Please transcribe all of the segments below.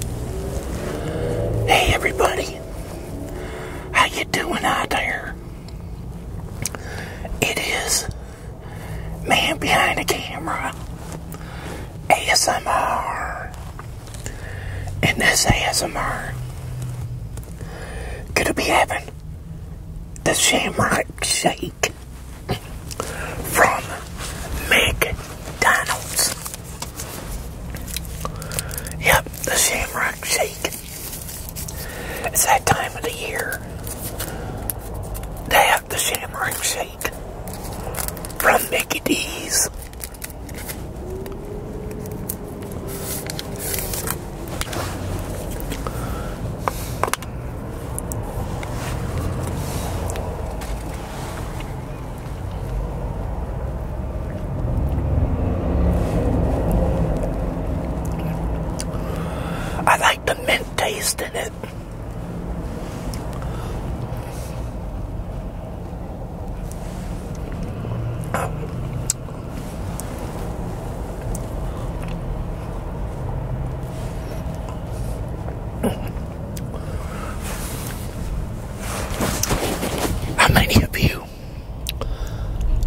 Hey everybody, how you doing out there? It is man behind the camera, ASMR, and this ASMR gonna be having the Shamrock Shake from McDonald's. Yep, the Shamrock Shake. It's that time of the year. They have the Shamrock Shake from Mickey D's. I like the mint taste in it. How many of you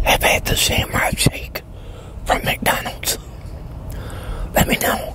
have had the samurai shake from McDonald's? Let me know.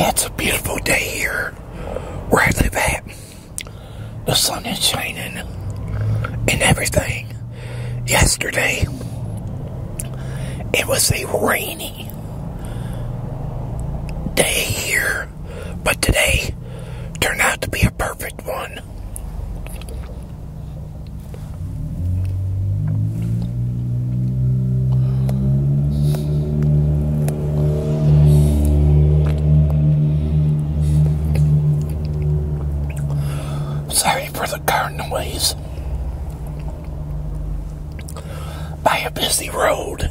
It's a beautiful day here where I live at. The sun is shining and everything. Yesterday, it was a rainy day here, but today turned out to be a perfect one. Sorry for the car noise. By a busy road.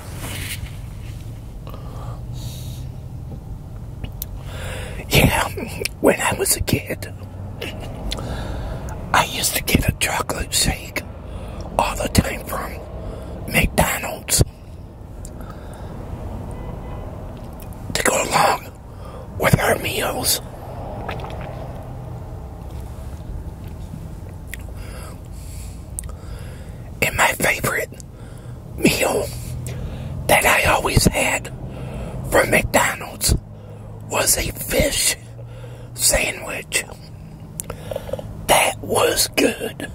Yeah, when I was a kid, I used to get a chocolate shake all the time from McDonald's to go along with our meals. And my favorite meal that I always had from McDonald's was a fish sandwich. That was good.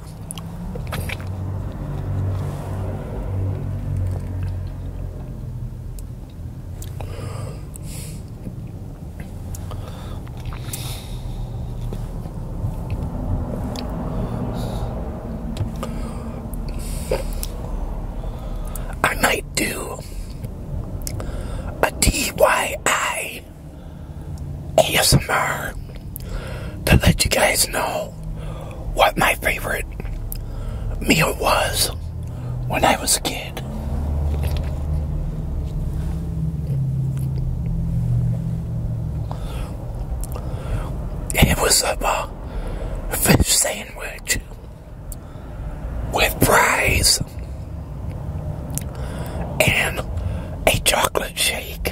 I might do a DIY ASMR to let you guys know what my favorite meal was when I was a kid. It was a fish sandwich with fries and a chocolate shake.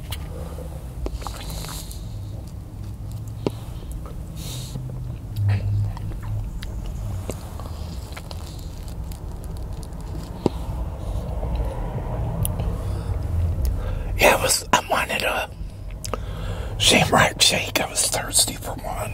Yeah, I was. I wanted a shamrock shake. I was thirsty for one.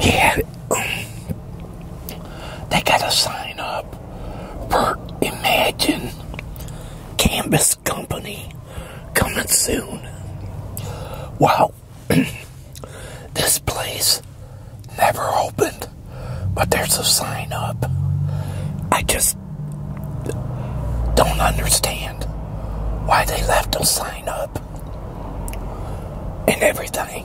Yeah, they got to sign up for Imagine Canvas Company coming soon. Wow, this place never opened, but there's a sign up. I just don't understand why they left a sign up and everything.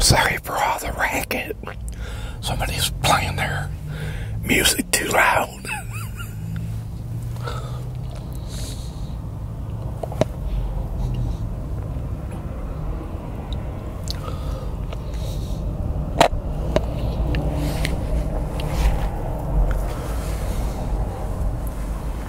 Sorry for all the racket. Somebody's playing their music too loud.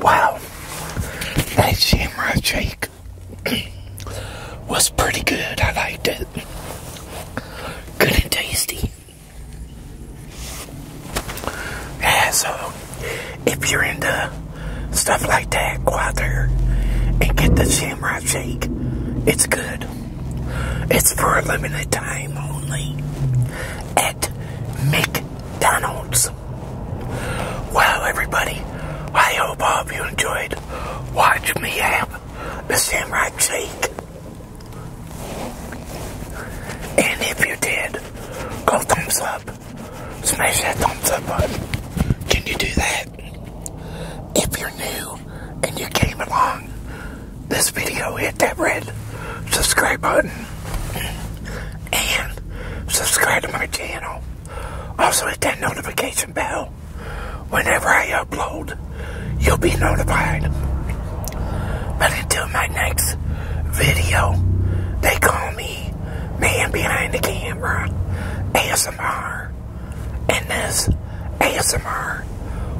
Wow, that's Samurai Jake. was pretty good. I liked it. Good and tasty. so if you're into stuff like that, go out there and get the shamrock shake. It's good. It's for a limited time only at McDonald's. Well, everybody, I hope all of you enjoyed watching me have the samurai shake. And if you did, go thumbs up. Smash that thumbs up button. Can you do that? If you're new and you came along this video, hit that red subscribe button and subscribe to my channel. Also hit that notification bell. Whenever I upload, you'll be notified. But until my next video, they call me Man Behind the Camera ASMR. And this ASMR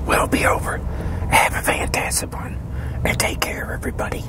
will be over. Have a fantastic one. And take care, everybody.